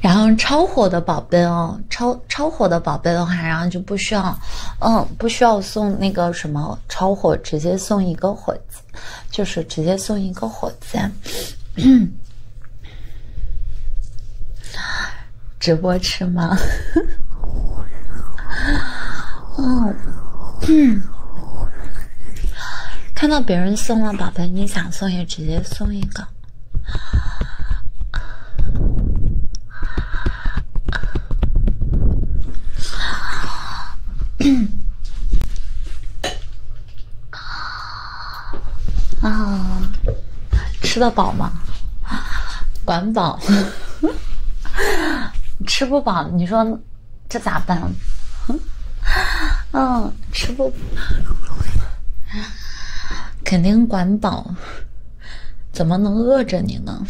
然后超火的宝贝哦，超超火的宝贝的话，然后就不需要，嗯，不需要送那个什么超火，直接送一个火字。就是直接送一个火箭，直播吃吗？嗯，看到别人送了，宝贝，你想送也直接送一个。啊 啊！吃得饱吗？管饱。吃不饱，你说这咋办？嗯，吃不，肯定管饱。怎么能饿着你呢？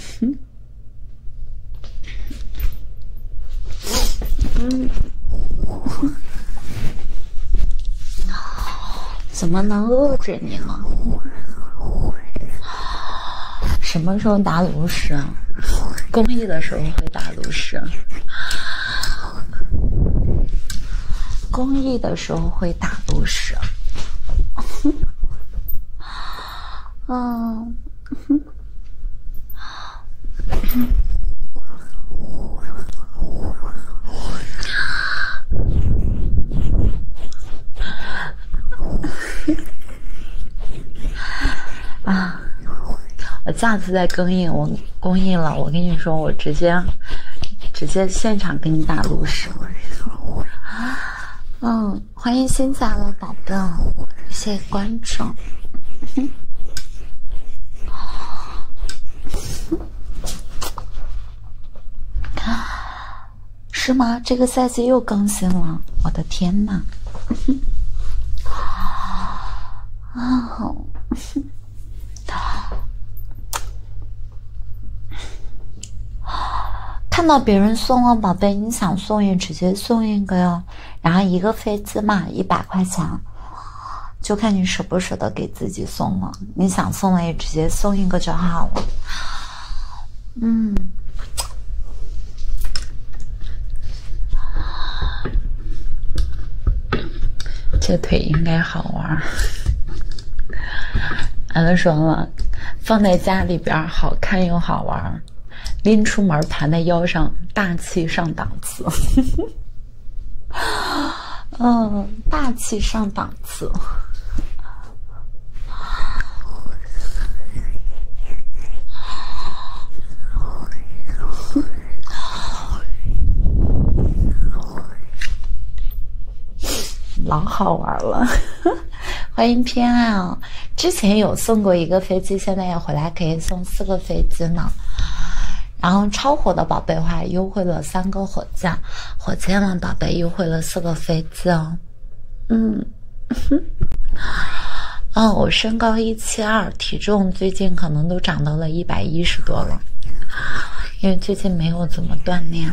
嗯，怎么能饿着你呢？什么时候打炉石？公益的时候会打炉石，公益的时候会打炉石。嗯。啊！我下次再更益，我公映了。我跟你说，我直接直接现场给你打炉石。嗯，欢迎新进来。宝贝，谢谢关注。是吗？这个赛季又更新了，我的天哪！看到别人送了，宝贝，你想送也直接送一个哟。然后一个飞机嘛，一百块钱，就看你舍不舍得给自己送了。你想送了也直接送一个就好了。嗯，这腿应该好玩儿。俺 都说了，放在家里边好看又好玩儿。拎出门，盘在腰上，大气上档次。嗯，大气上档次，老好玩了。欢迎偏爱哦。之前有送过一个飞机，现在要回来可以送四个飞机呢。然后超火的宝贝话，优惠了三个火箭，火箭们宝贝优惠了四个飞机哦。嗯，哦，我身高一七二，体重最近可能都长到了一百一十多了，因为最近没有怎么锻炼。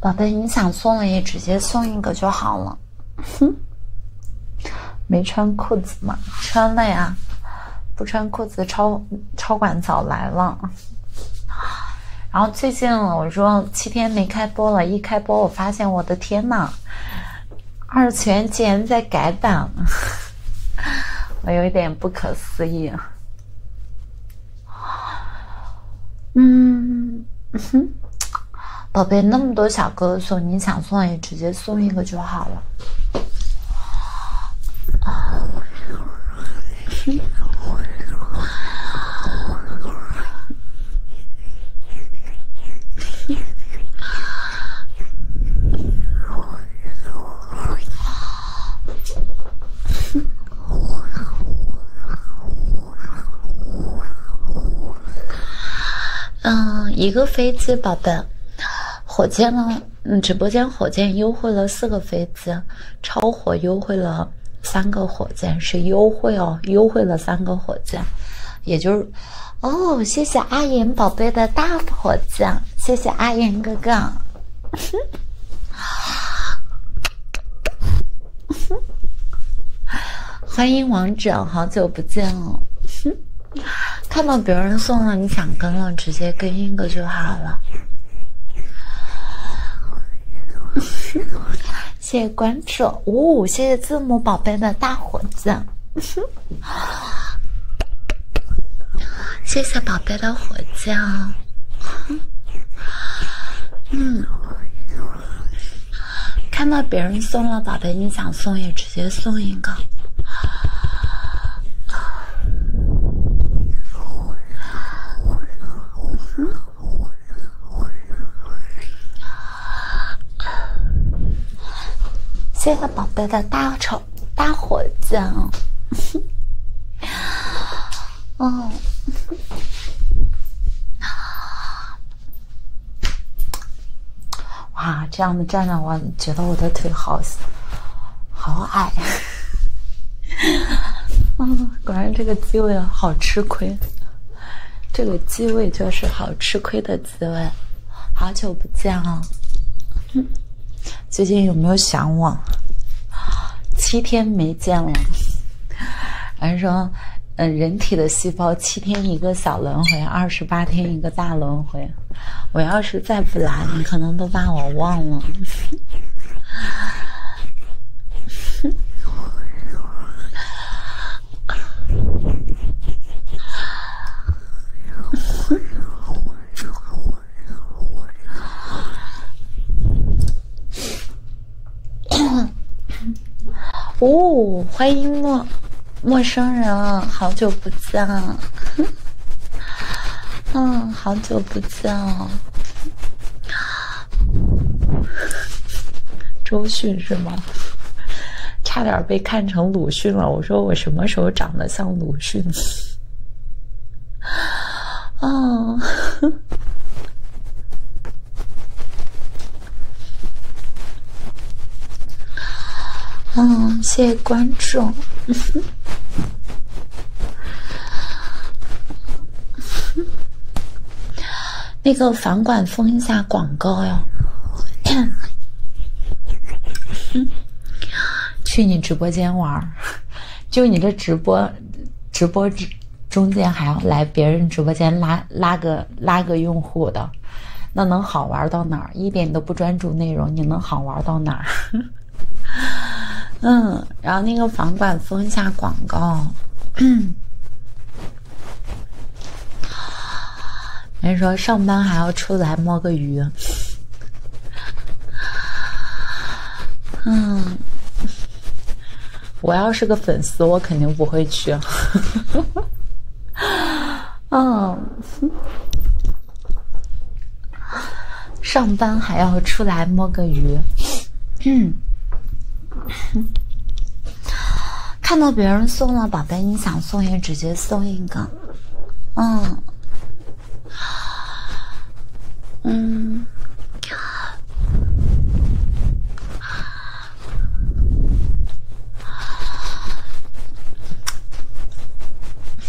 宝贝，你想送了也直接送一个就好了。哼，没穿裤子吗？穿了呀，不穿裤子超超管早来了。然后最近我说七天没开播了，一开播我发现我的天呐，二次元竟然在改版，我有点不可思议。嗯，宝贝，那么多小哥哥送你想送也直接送一个就好了。嗯，一个飞机，宝贝，火箭呢？嗯，直播间火箭优惠了四个飞机，超。我优惠了三个火箭，是优惠哦，优惠了三个火箭，也就是，哦，谢谢阿岩宝贝的大火箭，谢谢阿岩哥哥，欢迎王者，好久不见了，看到别人送了你想跟了，直接跟一个就好了。谢谢关注五五，谢谢字母宝贝的大火箭，谢谢宝贝的火箭，嗯，看到别人送了宝贝，你想送也直接送一个。谢谢宝贝的大丑大火箭哦！哦，哇，这样的站着，我觉得我的腿好，好矮。嗯，果然这个机位好吃亏。这个机位就是好吃亏的机位，好久不见啊！最近有没有想我？七天没见了。人说，嗯，人体的细胞七天一个小轮回，二十八天一个大轮回。我要是再不来，你可能都把我忘了。哦，欢迎陌陌生人，好久不见。嗯，好久不见哦。周迅是吗？差点被看成鲁迅了。我说我什么时候长得像鲁迅？哦，嗯，谢谢关注。那个房管封一下广告呀！去你直播间玩就你这直播，直播中间还要来别人直播间拉拉个拉个用户的，那能好玩到哪儿？一点都不专注内容，你能好玩到哪儿？嗯。然后那个房管封一下广告，人说上班还要出来摸个鱼，嗯，我要是个粉丝，我肯定不会去，嗯，上班还要出来摸个鱼，嗯。看到别人送了宝贝，你想送也直接送一个。嗯，嗯。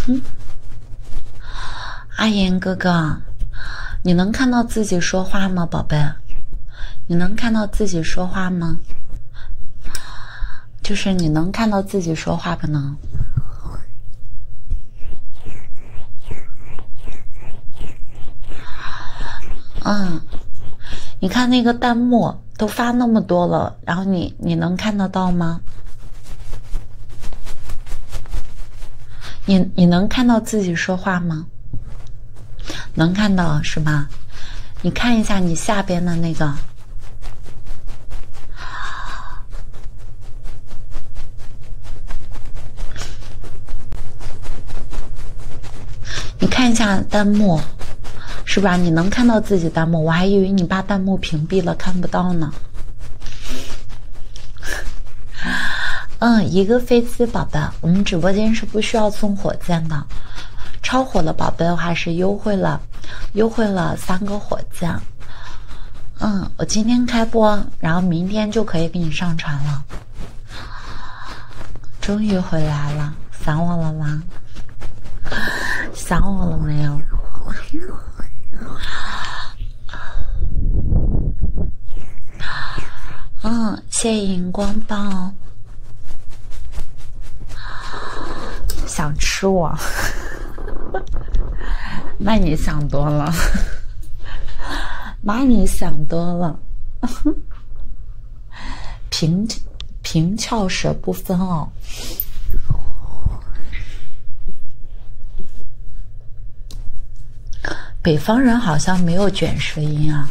哼，阿言哥哥，你能看到？自己说话吗，宝贝？你能看到自己说话吗？就是你能看到自己说话不能？嗯，你看那个弹幕都发那么多了，然后你你能看得到吗？你你能看到自己说话吗？能看到是吧？你看一下你下边的那个，你看一下弹幕，是吧？你能看到自己弹幕，我还以为你把弹幕屏蔽了，看不到呢。嗯，一个飞机，宝贝，我们直播间是不需要送火箭的。超火的宝贝的话是优惠了，优惠了三个火箭。嗯，我今天开播，然后明天就可以给你上传了。终于回来了，想我了吗？想我了没有？嗯，谢谢荧光棒。想吃我？那你想多了。那你想多了。平平翘舌不分哦。北方人好像没有卷舌音啊，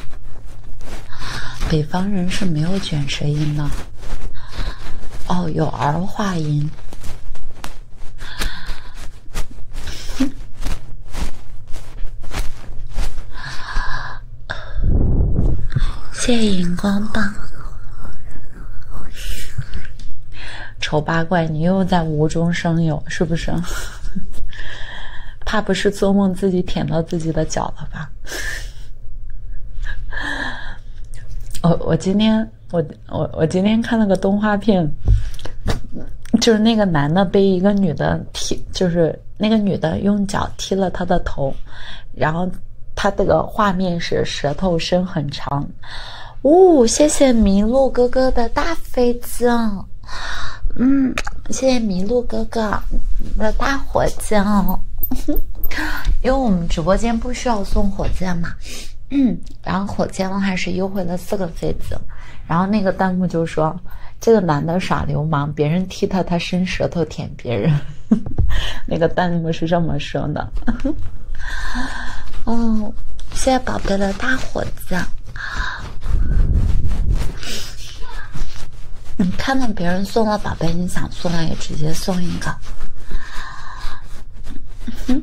北方人是没有卷舌音的。哦，有儿化音。谢谢荧光棒。丑八怪，你又在无中生有，是不是？怕不是做梦，自己舔到自己的脚了吧？我我今天我我我今天看了个动画片，就是那个男的被一个女的踢，就是那个女的用脚踢了他的头，然后他这个画面是舌头伸很长。呜，谢谢麋鹿哥哥的大飞机啊。嗯，谢谢麋鹿哥哥的大火箭哦，因为我们直播间不需要送火箭嘛。嗯，然后火箭的话是优惠了四个妃子，然后那个弹幕就说这个男的耍流氓，别人踢他，他伸舌头舔别人。那个弹幕是这么说的。嗯，谢谢宝贝的大火箭。你看到别人送了宝贝，你想送也直接送一个。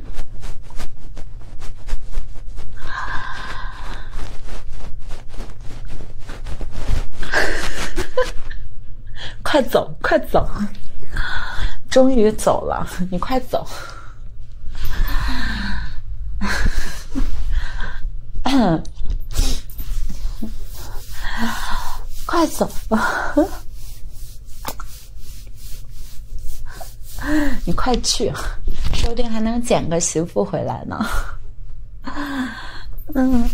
快走快走，终于走了，你快走。快走吧，你快去，说不定还能捡个媳妇回来呢。嗯。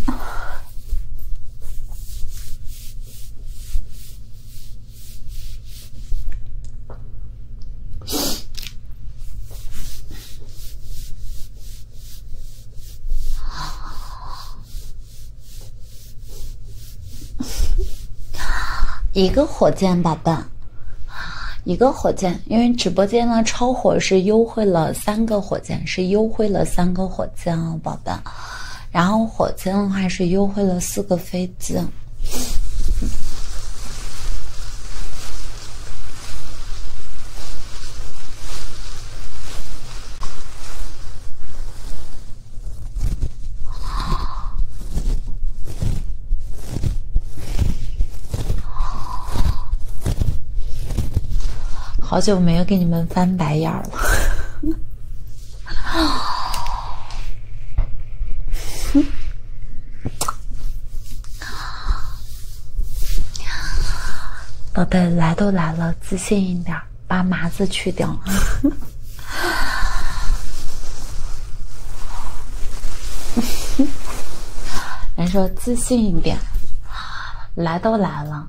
一个火箭，宝贝，一个火箭。因为直播间呢超火，是优惠了三个火箭，是优惠了三个火箭哦，宝贝。然后火箭的话是优惠了四个飞机。好久没有给你们翻白眼了。宝贝，来都来了，自信一点，把麻子去掉。人说自信一点，来都来了。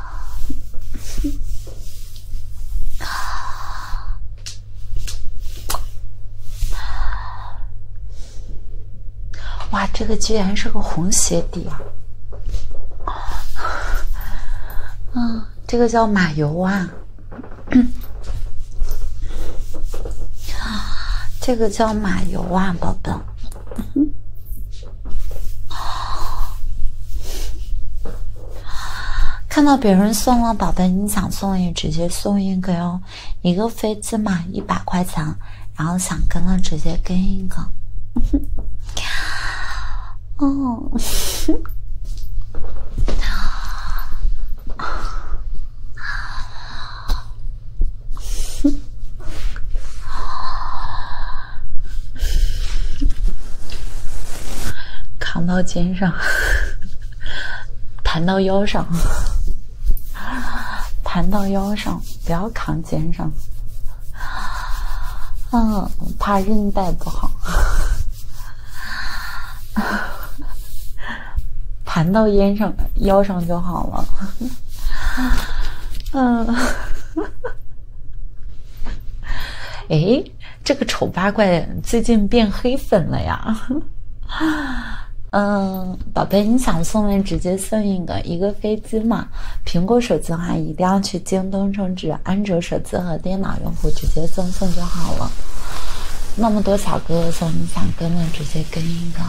哇，这个居然是个红鞋底啊！嗯，这个叫马油啊，这个叫马油啊，宝贝。看到别人送了，宝贝，你想送也直接送一个哟，一个飞机嘛，一百块钱，然后想跟了直接跟一个，嗯哼，哦。扛到肩上，盘到腰上，盘到腰上，不要扛肩上，嗯，怕韧带不好。盘 到肩上，腰上就好了，嗯。哎，这个丑八怪最近变黑粉了呀！嗯，宝贝，你想送人直接送一个一个飞机嘛。苹果手机的话，一定要去京东充值；安卓手机和电脑用户直接赠送就好了。那么多小哥哥送，你想跟的直接跟一个。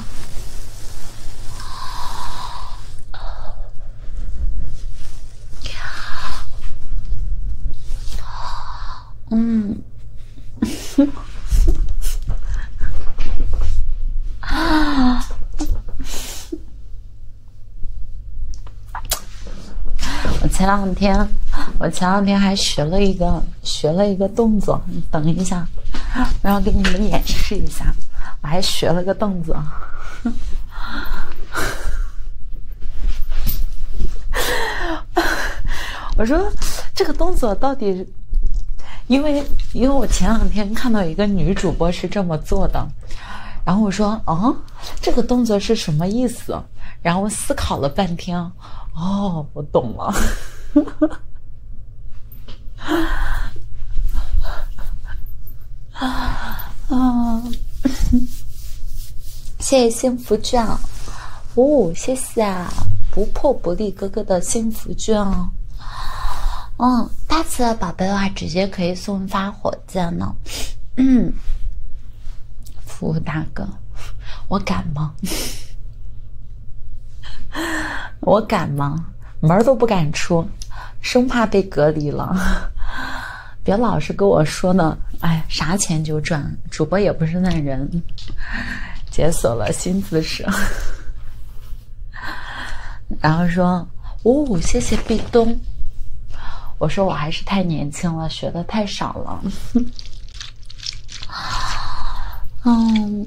嗯，啊！我前两天，我前两天还学了一个学了一个动作，等一下，然后给你们演示一下，我还学了个动作。我说这个动作到底？因为因为我前两天看到一个女主播是这么做的，然后我说啊，这个动作是什么意思？然后思考了半天，哦，我懂了。啊啊！谢谢幸福券哦，谢谢不破不立哥哥的幸福券哦。嗯，大气的宝贝的话，直接可以送发火箭呢。嗯，服务大哥，我敢吗？我敢吗？门都不敢出。生怕被隔离了，别老是跟我说呢，哎，啥钱就赚，主播也不是那人。解锁了新姿势，然后说，哦，谢谢壁咚。我说我还是太年轻了，学的太少了。嗯。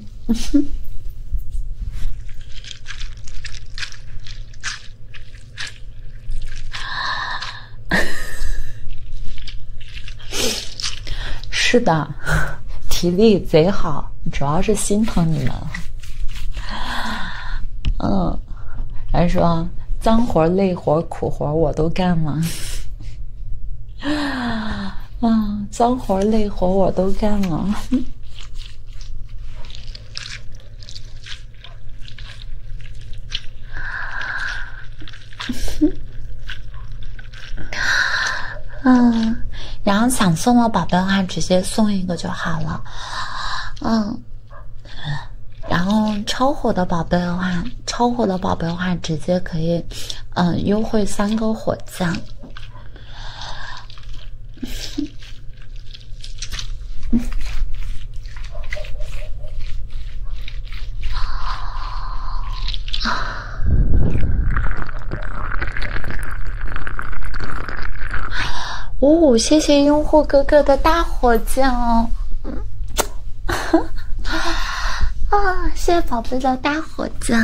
是的，体力贼好，主要是心疼你们。嗯，还说脏活累活苦活我都干了啊，脏活累活我都干了。嗯，然后想送的宝贝的话，直接送一个就好了。嗯，然后超火的宝贝的话，超火的宝贝的话，直接可以，嗯，优惠三个火箭。哦，谢谢用户哥哥的大火箭哦！啊，谢谢宝贝的大火箭，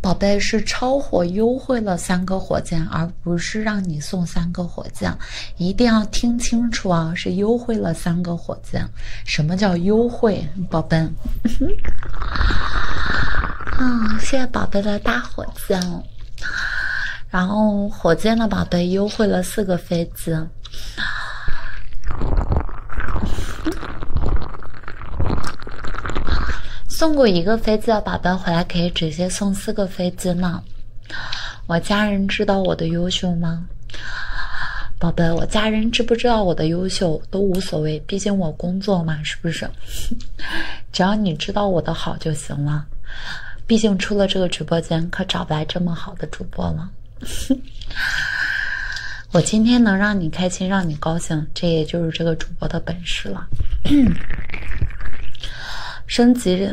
宝贝是超火优惠了三个火箭而。不是让你送三个火箭，一定要听清楚啊！是优惠了三个火箭。什么叫优惠，宝贝？啊，谢谢宝贝的大火箭。然后火箭的宝贝优惠了四个飞机。送过一个飞机的宝贝回来可以直接送四个飞。子呢？我家人知道我的优秀吗？宝贝，我家人知不知道我的优秀都无所谓，毕竟我工作嘛，是不是？只要你知道我的好就行了。毕竟出了这个直播间，可找不来这么好的主播了。我今天能让你开心，让你高兴，这也就是这个主播的本事了。升级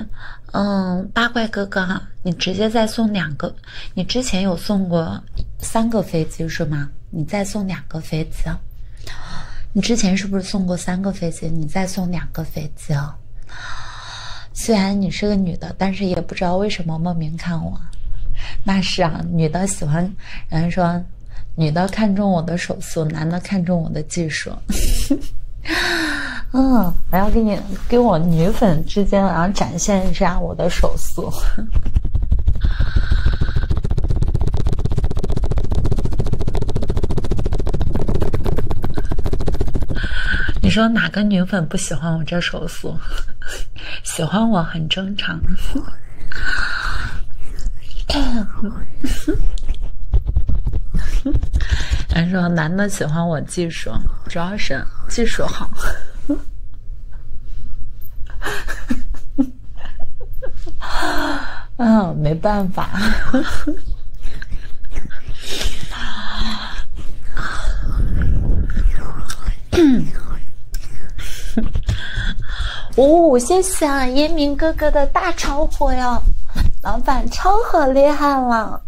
嗯，八怪哥哥哈，你直接再送两个，你之前有送过三个飞机是吗？你再送两个飞机，你之前是不是送过三个飞机？你再送两个飞机哦。虽然你是个女的，但是也不知道为什么莫名看我。那是啊，女的喜欢，人家说，女的看中我的手速，男的看中我的。技术，嗯，我要给你给我女粉之间，然后展现一下我的手速。你说哪个女粉不喜欢我这手速？喜欢我很正常。还 说，男的喜欢我技术，主要是技术好。嗯，没办法。嗯，谢谢啊，烟明哥哥的大超火哟，老板超火厉害了，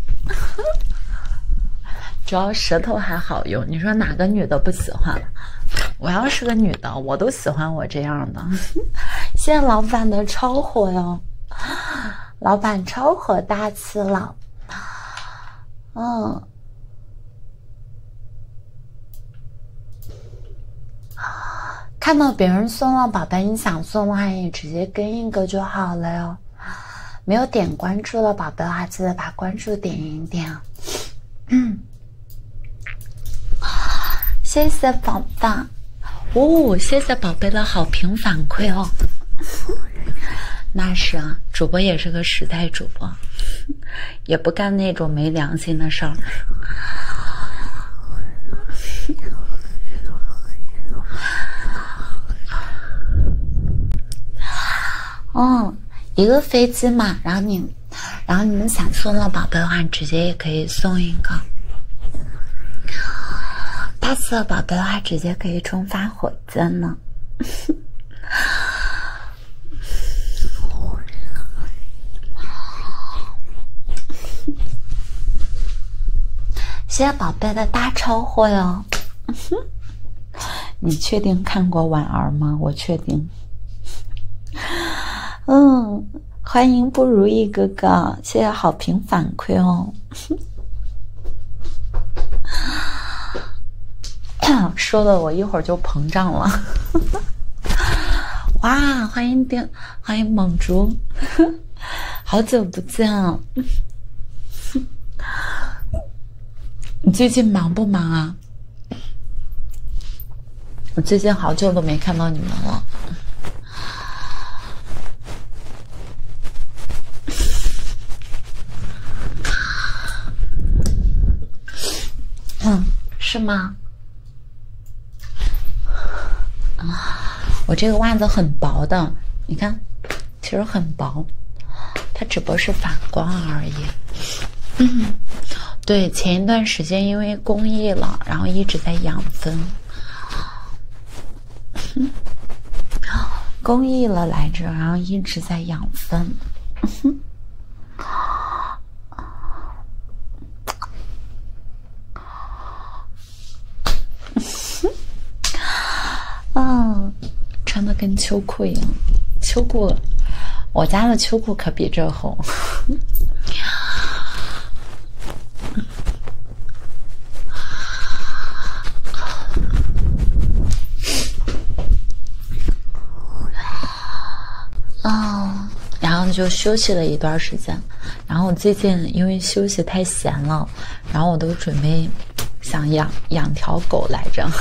主要舌头还好用，你说哪个女的不喜欢？我要是个女的，我都喜欢我这样的。谢 谢老板的超火哟，老板超火大气了，嗯。看到别人送了，宝贝，你想送的话也直接跟一个就好了哟。没有点关注的宝贝话，记得把关注点一点。嗯，谢谢宝宝。哦，谢谢宝贝的好评反馈哦。那是啊，主播也是个实在主播。也不干那种没良心的事儿。哦，一个飞机嘛，然后你，然后你们想送了宝贝的话，直接也可以送一个。大四的宝贝的话，直接可以充发火箭呢。谢谢宝贝的大超货哟！你确定看过婉儿吗？我确定。嗯，欢迎不如意哥哥，谢谢好评反馈哦。说的我一会儿就膨胀了，哇！欢迎丁，欢迎猛竹，好久不见啊！你最近忙不忙啊？我最近好久都没看到你们了。嗯，是吗？我这个袜子很薄的，你看，其实很薄，它只不过是反光而已。对，前一段时间因为公益了，然后一直在养分，公 益了来着，然后一直在养分。啊，穿的跟秋裤一样。秋裤，我家的秋裤可比这厚。哦，然后就休息了一段时间，然后我最近因为休息太闲了，然后我都准备想养养条狗来着。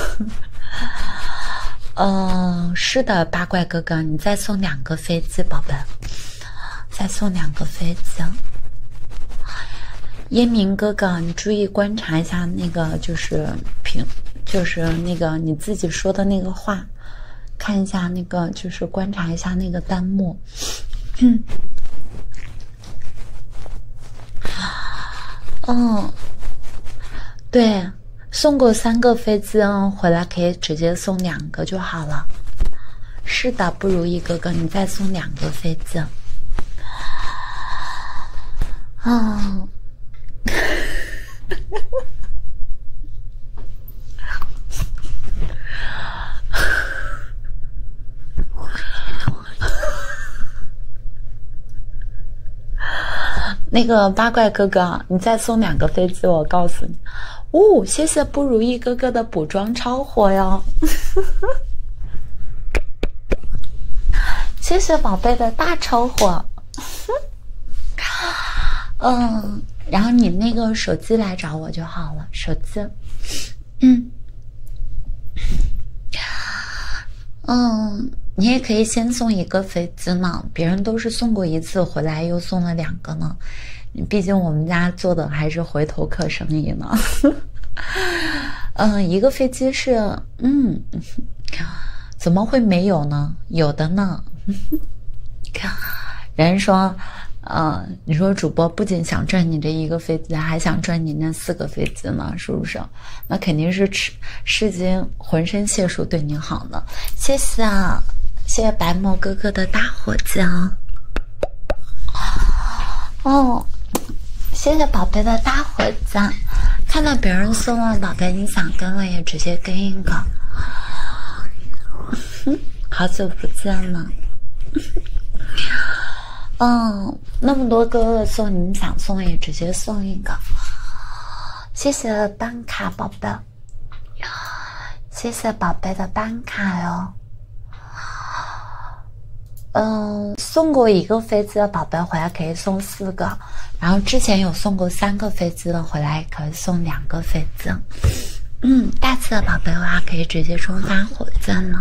嗯，是的，八怪哥哥，你再送两个飞机，宝贝，再送两个飞机。烟明哥哥，你注意观察一下那个，就是平，就是那个你自己说的那个话。看一下那个，就是观察一下那个弹幕。嗯，对，送过三个飞机哦，回来可以直接送两个就好了。是的，不如意哥哥，你再送两个飞机。嗯。哈 哈那个八怪哥哥，你再送两个飞机，我告诉你。哦，谢谢不如意哥哥的补妆超火哟！哈 哈谢谢宝贝的大超火。嗯，然后你那个手机来找我就好了，手机。嗯，嗯，你也可以先送一个飞机嘛，别人都是送过一次回来又送了两个呢，毕竟我们家做的还是回头客生意呢。嗯，一个飞机是嗯。怎么会没有呢？有的呢，看，有人说，嗯，你说主播不仅想赚你这一个飞机，还想赚你那四个飞机呢，是不是？那肯定是吃世间浑身解数对你好呢。谢谢，啊，谢谢白毛哥哥的大火箭。哦，谢谢宝贝的大火箭。看到别人送了宝贝，你想跟了也直接。给一个，好久不见了。嗯，那么多哥哥送，你们想送也直接送一个。谢谢单卡宝贝，谢谢宝贝的单卡哟。嗯，送过一个飞机的宝贝回来可以送四个。然后之前有送过三个飞机的，回来可以送两个飞机。嗯，大次的宝贝的话，可以直接充三火箭了，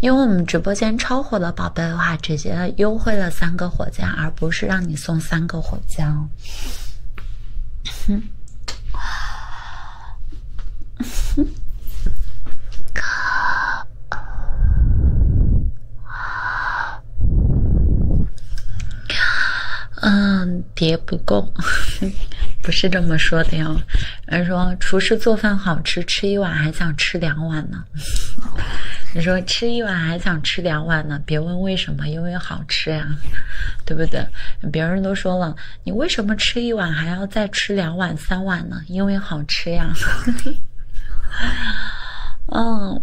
因为我们直播间超火的宝贝的话，直接优惠了三个火箭，而不是让你送三个火箭。哼，哥。嗯，叠不够，不是这么说的哟。人说厨师做饭好吃，吃一碗还想吃两碗呢。你 说吃一碗还想吃两碗呢？别问为什么，因为好吃呀，对不对？别人都说了，你为什么吃一碗还要再吃两碗？三碗呢，因为好吃呀。嗯，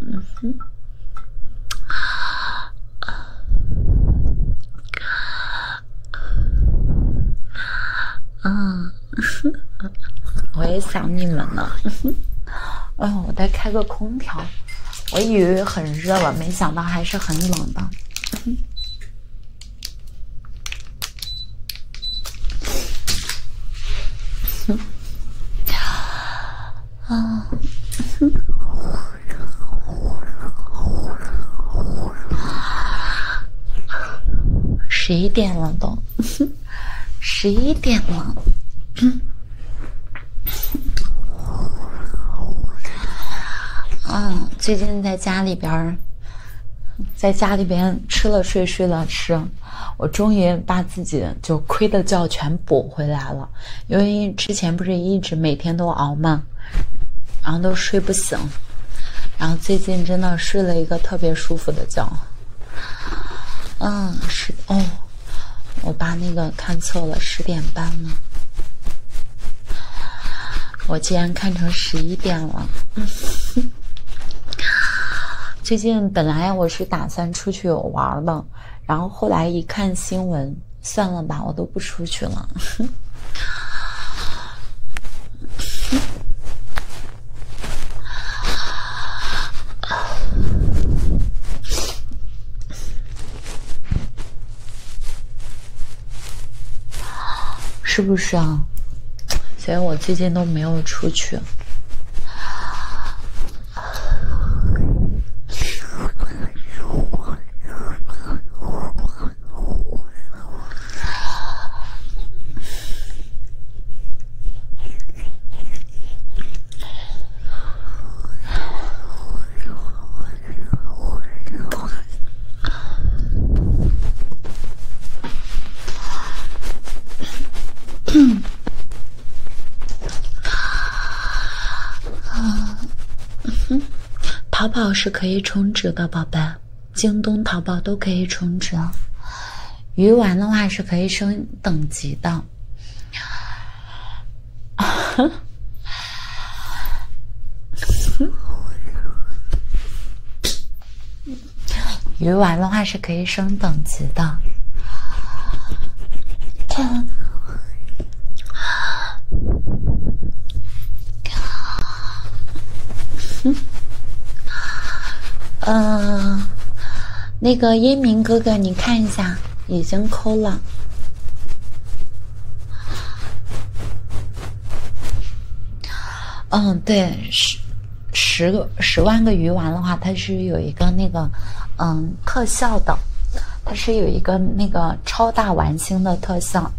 嗯，我也想你们呢。哎呦，我在开个空调。我以为很热了，没想到还是很冷的。哼，啊，十一点了都，十一点了，嗯，最近在家里边，在家里边吃了睡，睡了吃。我终于把自己就亏的觉全补回来了，因为之前不是一直每天都熬嘛，然后都睡不醒，然后最近真的睡了一个特别舒服的觉。嗯，是哦，我把那个看错了，十点半了。我竟然看成十一点了。最近本来我是打算出去玩的，然后后来一看新闻，算了吧，我都不出去了。是不是啊？所以我最近都没有出去。嗯，淘宝是可以充值的，宝贝，京东、淘宝都可以充值。鱼丸的话是可以升等级的。鱼丸的话是可以升等级的。嗯，嗯，那个英明哥哥，你看一下，已经扣了。嗯，对，是。十个十万个鱼丸的话，它是有一个那个，嗯，特效的，它是有一个那个超大玩星的特效。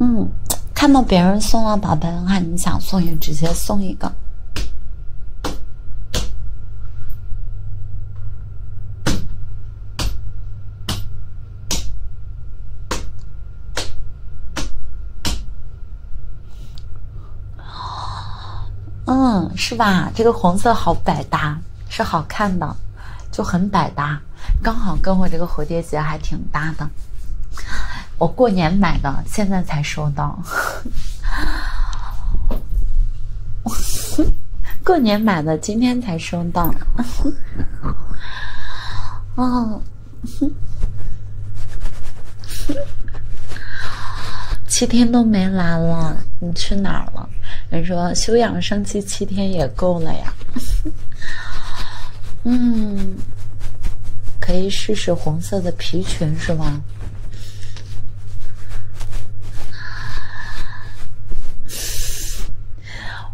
嗯，看到别人送了宝贝的话，你想送就直接送一个。嗯，是吧？这个红色好百搭，是好看的，就很百搭，刚好跟我这个蝴蝶结还挺搭的。我过年买的，现在才收到。过年买的，今天才收到。哦，七天都没来了，你去哪儿了？人说休养生息七天也够了呀。嗯，可以试试红色的皮裙，是吗？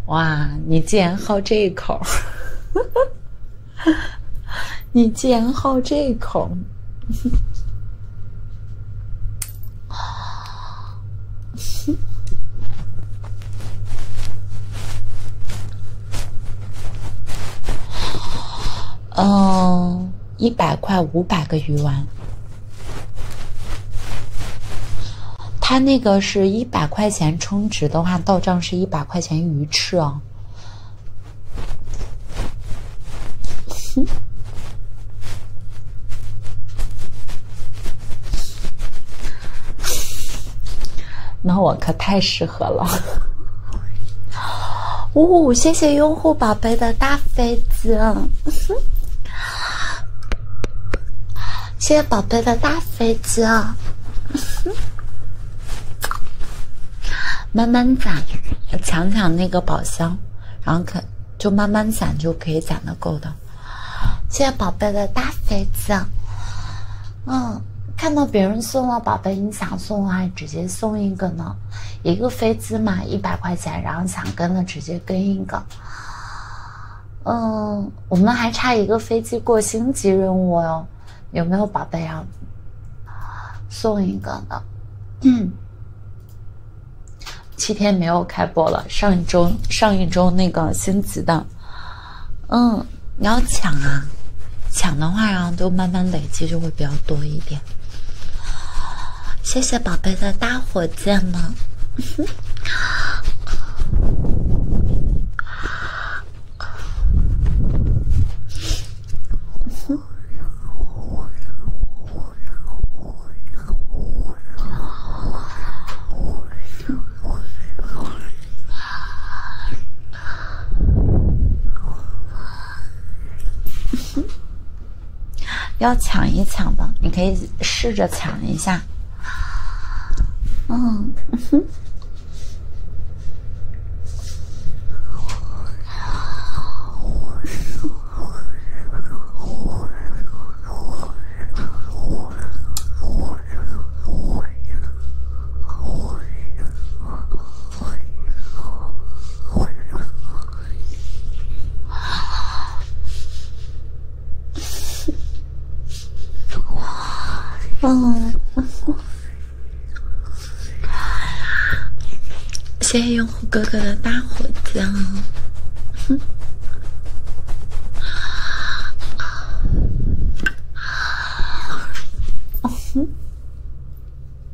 哇，你竟然好这一口！你竟然好这一口！嗯。一百块五百个鱼丸，他那个是一百块钱充值的话，到账是一百块钱鱼翅哦。那我可太适合了。哦，谢谢用户宝贝的大飞机，谢谢宝贝的大飞机慢慢攒，抢抢那个宝箱，然后可就慢慢攒就可以攒的够的。谢谢宝贝的大飞机，嗯，看到别人送了宝贝，你想送话，直接送一个呢，一个飞。机嘛，一百块钱，然后想跟了直接跟一个。嗯，我们还差一个飞机过星级任务哟，有没有宝贝要送一个的？嗯，七天没有开播了，上一周上一周那个星级的，嗯，你要抢啊，抢的话然后都慢慢累积就会比较多一点。谢谢宝贝的大火箭呢。要抢一抢的，你可以试着抢一下。嗯。谢 谢用户哥哥的大火箭！哼。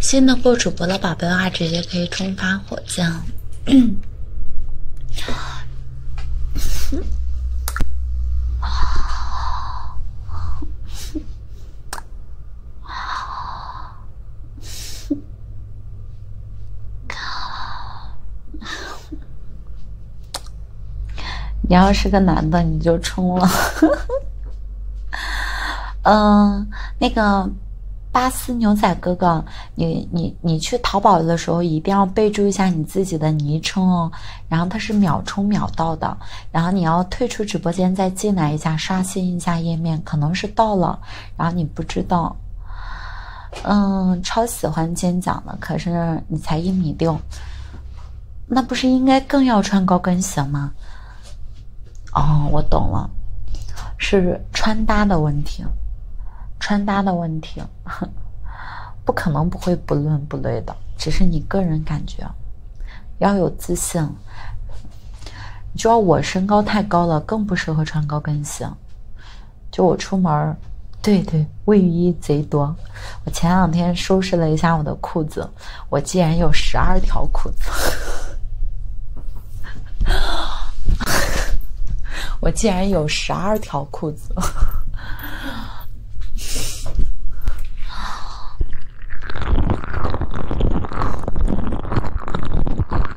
新的过主播的宝贝话，直接可以冲发火箭。你要是个男的，你就充了。嗯，那个巴斯牛仔哥哥，你你你去淘宝的时候一定要备注一下你自己的昵称哦。然后它是秒充秒到的，然后你要退出直播间再进来一下，刷新一下页面，可能是到了。然后你不知道，嗯，超喜欢尖脚的，可是你才一米六，那不是应该更要穿高跟鞋吗？哦，我懂了，是穿搭的问题，穿搭的问题，不可能不会不伦不类的，只是你个人感觉，要有自信。主要我身高太高了，更不适合穿高跟鞋。就我出门，对对，卫衣贼多。我前两天收拾了一下我的裤子，我竟然有十二条裤子！我竟然有十二条裤子！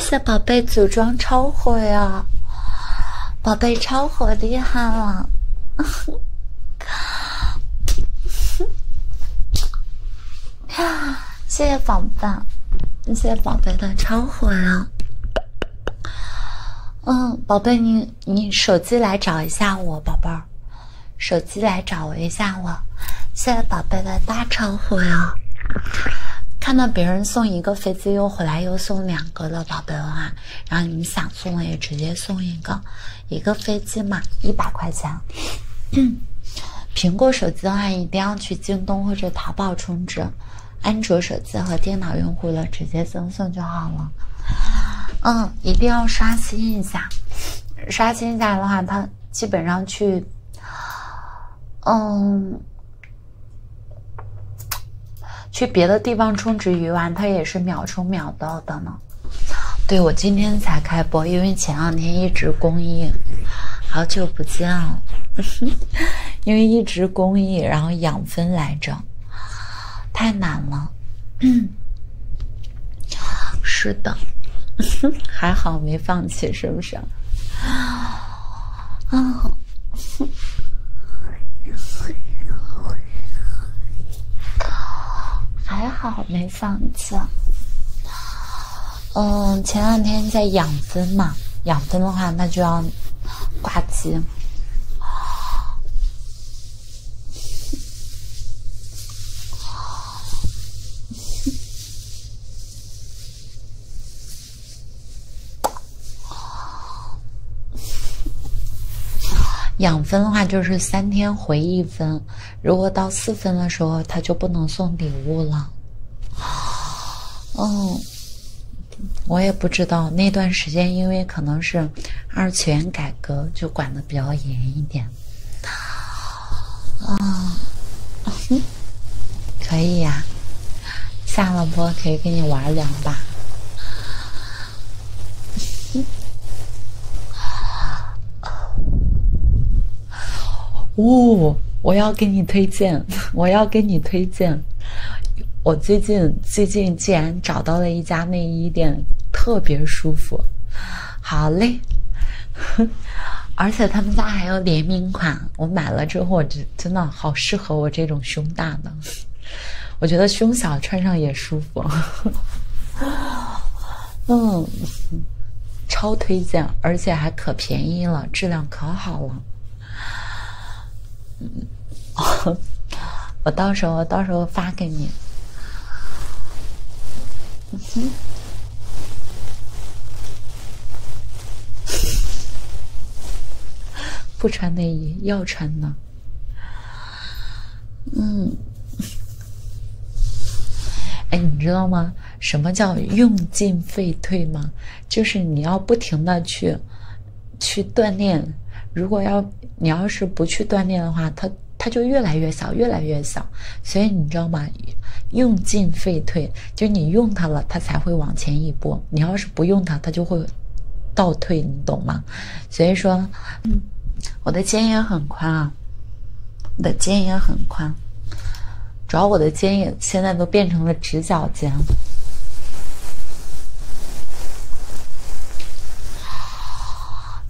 谢谢宝贝，组装超火呀！宝贝超火，厉害了！谢谢宝贝，谢谢宝贝的超火呀！嗯，宝贝，你你手机来找一下我，宝贝儿，手机来找我一下我。谢谢宝贝的大超火呀！看到别人送一个飞。又回来又送两个了，宝贝的啊！然后你们想送也直接送一个，一个飞机嘛，一百块钱。嗯，苹果手机的话一定要去京东或者淘宝充值，安卓手机和电脑用户的直接赠送就好了。嗯，一定要刷新一下，刷新一下的话，它基本上去，嗯。去别的地方充值鱼丸，它也是秒充秒到的呢。对我今天才开播，因为前两天一直公益，好久不见了，因为一直公益，然后养分来着，太难了。是的，还好没放弃，是不是？啊，还好没放假。嗯，前两天在养分嘛，养分的话，那就要挂机。养分的话，就是三天回一分。如果到四分的时候，他就不能送礼物了。嗯，我也不知道那段时间，因为可能是二次元改革，就管的比较严一点。啊，可以呀。下了播可以跟你玩两把。哦，我要给你推荐，我要给你推荐。我最近最近竟然找到了一家内衣店，特别舒服。好嘞，而且他们家还有联名款，我买了之后就。真的好适合我这种胸大的，我觉得胸小穿上也舒服。嗯，超推荐，而且还可便宜了，质量可好了。嗯，我到时候到时候发给你。嗯哼。不穿内衣要穿呢。嗯，哎，你知道吗？什么叫用进废退吗？就是你要不停的去去锻炼。如果要你要是不去锻炼的话，它它就越来越小，越来越小。所以你知道吗？用进废退。就你用它了，它才会往前一步；你要是不用它，它就会倒退，你懂吗？所以说，嗯，我的肩也很宽啊，我的肩也很宽，主要我的肩也现在都变成了直角肩。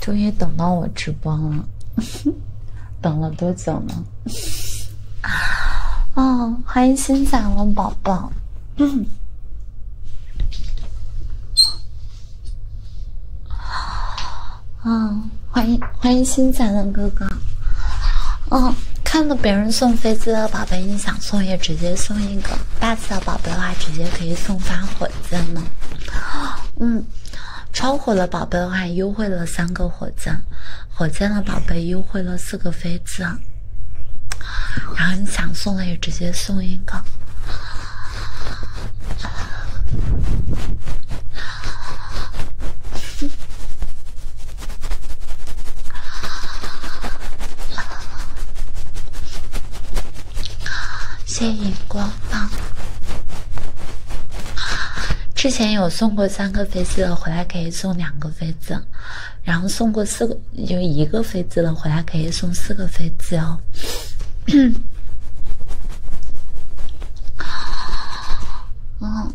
终于等到我直播了，等了多久呢？啊，欢迎新进来宝宝。嗯，嗯，欢迎欢迎新来的哥哥。嗯，看到别人送飞机的宝贝，你想送也直接送一个；大气的宝贝的话，直接可以送发火箭了。嗯，超火的宝贝的话，优惠了三个火箭；火箭的宝贝优惠了四个飞机。然后你想送的也直接送一个，谢谢荧光棒。之前有送过三个杯子的，回来可以送两个杯子。然后送过四个，就一个飞机了，回来可以送四个飞机哦。嗯。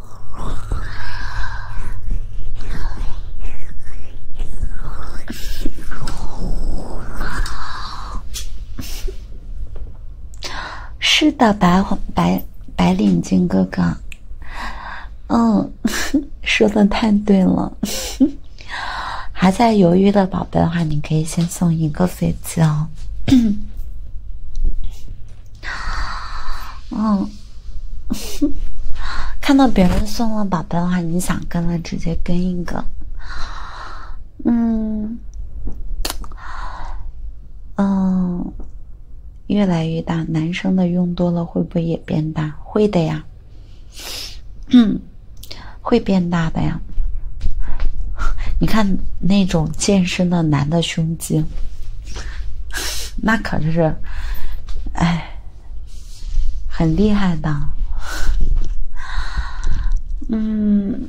是的，白黄白白领巾哥哥，嗯，说的太对了。还在犹豫的宝贝的话，你可以先送一个飞机哦。嗯，看到别人送了宝贝的话，你想跟了，直接跟一个。嗯，嗯，越来越大，男生的用多了会不会也变大？会的呀，嗯，会变大的呀。你看那种健身的男的胸。那可是，哎，很厉害的，嗯。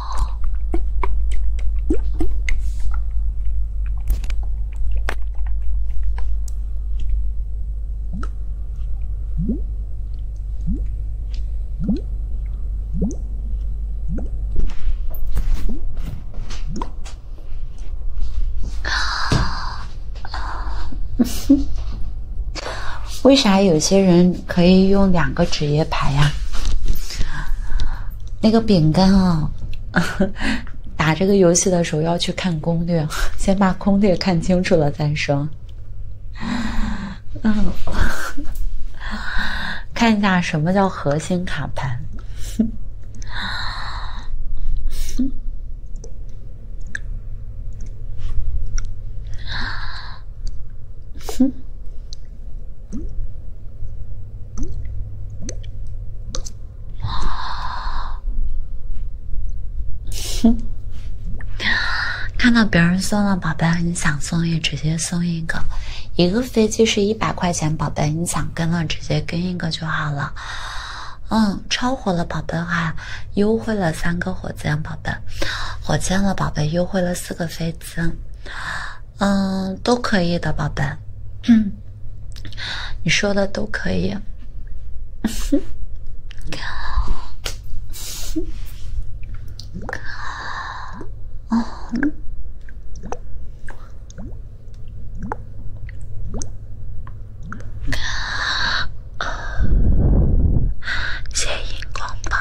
为啥有些人可以用两个职业牌呀？那个饼干啊，打这个游戏的时候要去看攻略，先把攻略看清楚了再说。嗯，看一下什么叫核心卡盘。哼。看到别人送了，宝贝，你想送也直接送一个，一个飞机是一百块钱，宝贝，你想跟了直接跟一个就好了。嗯，超火了，宝贝哈，优惠了三个火箭，宝贝，火箭了，宝贝优惠了四个飞机。嗯，都可以的，宝贝。嗯，你说的都可以。谢哥，嗯，荧光棒。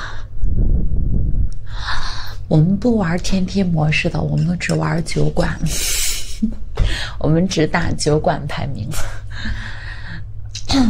我们不玩天梯模式的，我们只玩酒馆，我们只打酒馆排名。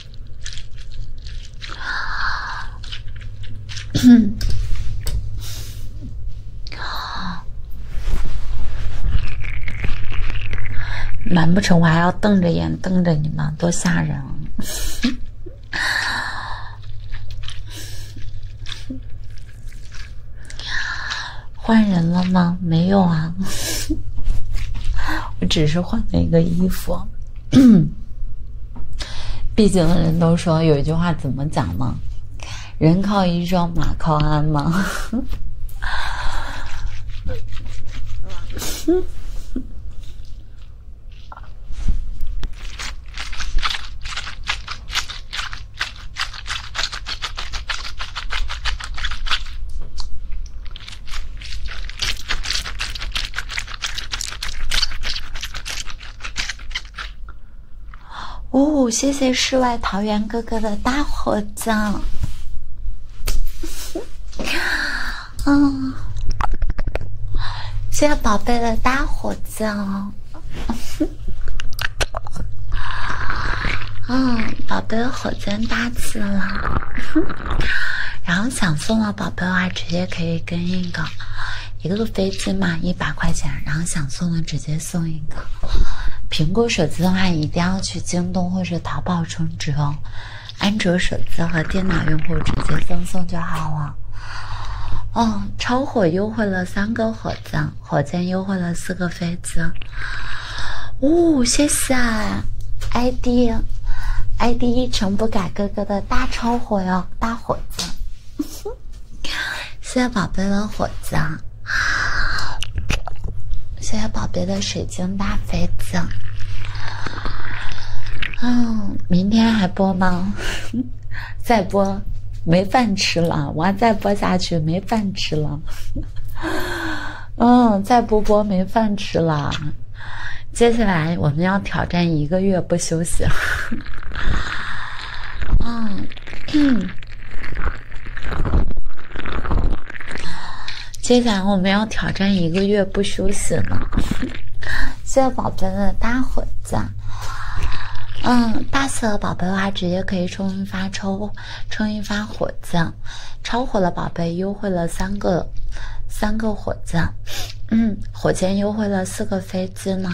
哼，难不成我还要瞪着眼瞪着你吗？多吓人！换人了吗？没有啊，我只是换了一个衣服。毕竟，人都说有一句话，怎么讲吗？人靠衣装，马靠鞍吗？哦，谢谢世外桃源哥哥的大火箭！嗯，谢谢宝贝的大火箭！嗯，宝贝火箭大气了，然后想送了。宝贝的话，直接可以跟一个一个飞机嘛，一百块钱，然后想送的直接送一个。苹果手机的话，一定要去京东或者淘宝充值哦。安卓手机和电脑用户直接赠送就好了。哦，超火优惠了三个火箭，火箭优惠了四个飞机。哦，谢。下，ID ID 一成不改哥哥的大超火哟，大火子，谢谢宝贝的火子，谢谢宝贝的水晶大肥子。嗯，明天还播吗？再播，没饭吃了，我要再播下去没饭吃了。嗯，再不播没饭吃了。接下来我们要挑战一个月不休息。嗯，接下来我们要挑战一个月不休息呢。谢谢宝贝的大火子。嗯，大四的宝贝的话，直接可以充一发抽，充一发火子。超火的宝贝，优惠了三个，三个。伙子，嗯，火箭优惠了四个飞机呢，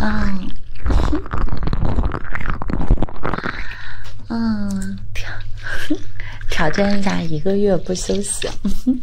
嗯，嗯，挑挑战一下一个月不休息，嗯哼。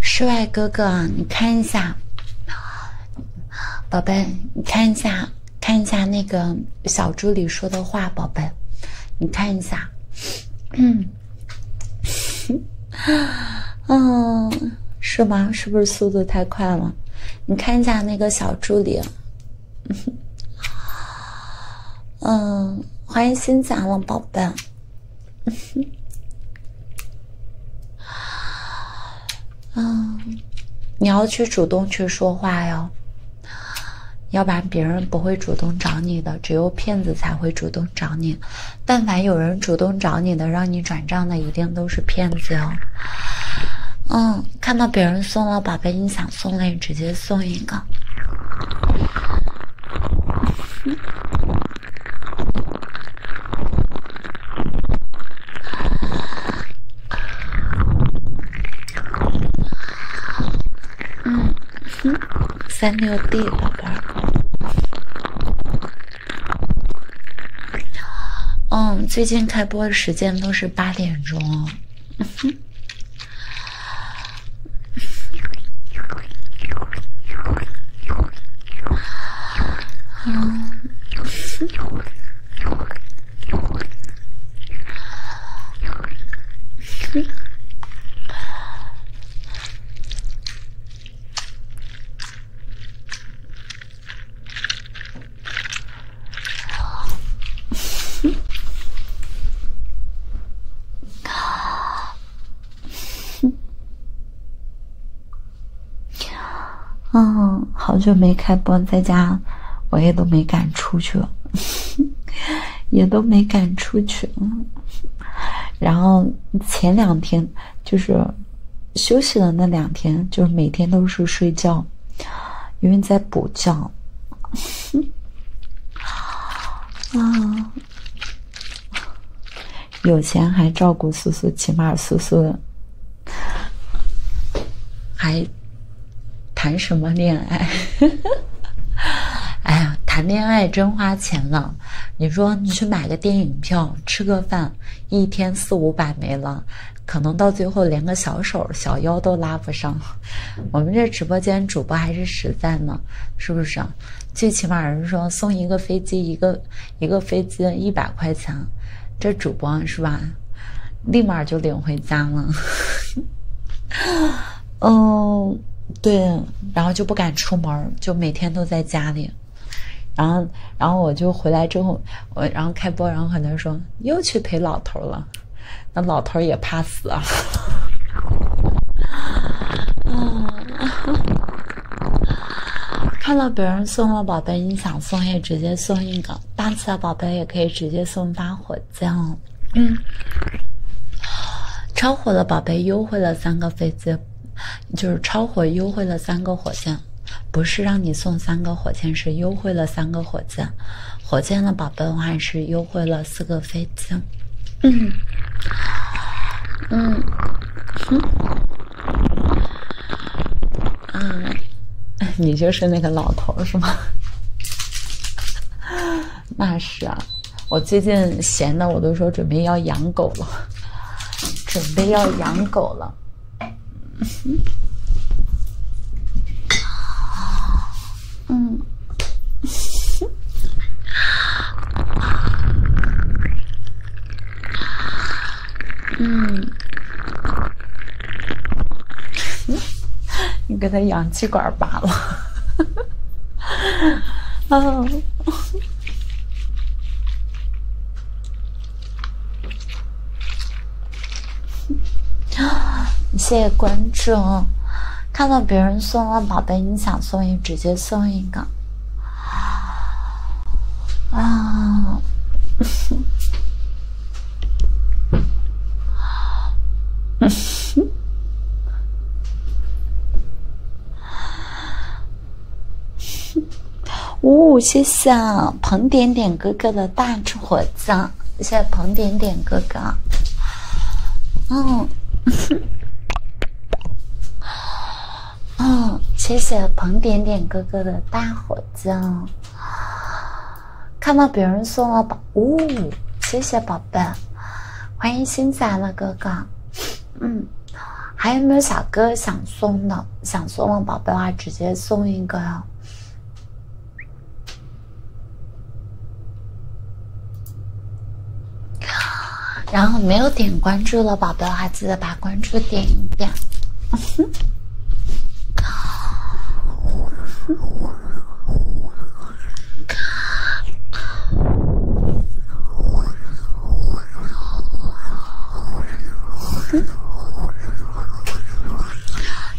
室外哥哥，你看一下，宝贝，你看一下，看一下那个小助理说的话，宝贝，你看一下，嗯。啊，嗯，是吗？是不是速度太快了？你看一下那个小助理。嗯，欢迎新进来宝贝。嗯，你要去主动去说话哟，要不然别人不会主动找你的，只有骗子才会主动找你。但凡有人主动找你的，让你转账的，一定都是骗子哟。嗯，看到别人送了，宝贝，你想送你直接送一个。嗯，三六 D，宝贝。嗯，最近开播的时间都是八点钟。嗯哼。嗯哼。哼。嗯，好久没开播，在家我也都没敢出去，了，也都没敢出去。然后前两天。就是休息的那两天，就是每天都是睡觉，因为在补觉。嗯，有钱还照顾苏苏，起码苏苏还谈什么恋爱？哎呀，谈恋爱真花钱了。你说你去买个电影票，吃个饭。一天四五百没了，可能到最后连个小手、小腰都拉不上。我们这直播间主播还是实在呢，是不是？最起码人说送一个飞机，一个一个飞机一百块钱，这主播是吧？立马就领回家了。嗯，对，然后就不敢出门，就每天都在家里。然后，然后我就回来之后，我然后开播，然后很多人说又去陪老头了，那老头也怕死啊。看到别人送了宝贝，你想送也直接送一个，大气的宝贝也可以直接送发火箭。嗯，超火的宝贝优惠了三个飞机。就是超火优惠了三个火箭，不是让你送三个火箭，是优惠了三个火箭。火箭的宝贝，的话是优惠了四个飞机。嗯，嗯，哼，啊，你就是那个老头是吗？那是啊，我最近闲的我都说准备要养狗了。准备要养狗了，嗯，嗯，嗯，你给他氧气管拔了，啊。谢谢关注，看到别人送了宝贝，你想送也直接送一个。啊！五 五，谢谢彭点点哥哥的大火箭，谢谢彭点点哥哥。嗯，嗯，谢谢彭点点哥哥的大火箭。看到别人送了宝，五五，谢谢宝贝，欢迎新进来的哥哥。嗯，还有没有小哥想送的？想送的宝贝的话，直接送一个。然后没有点关注的宝贝的话，记得把关注点一。点。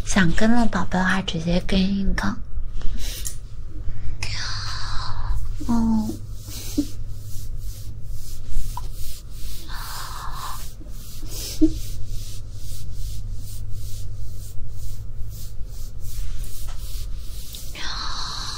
想跟的宝贝的话，直接跟一个。哦。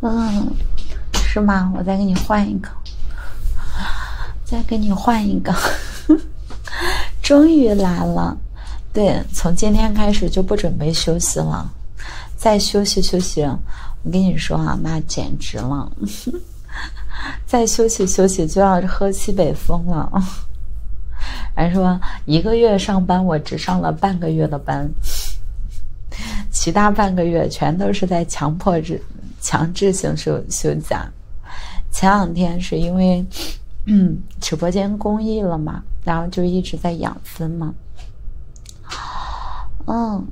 嗯，是吗？我再给你换一个，再给你换一个，终于来了。对，从今天开始就不准备休息了。再休息休息，我跟你说啊，那简直了。再休息休息就要喝西北风了。还说一个月上班，我只上了半个月的。班，其他半个月全都是在强迫制、强制性休休假。前两天是因为嗯直播间公益了嘛，然后就一直在养分嘛。嗯，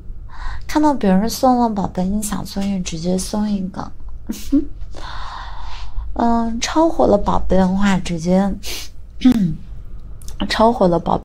看到别人送了宝贝，你想送也直接送一个。嗯，超火的宝贝的话，直接 超火的宝。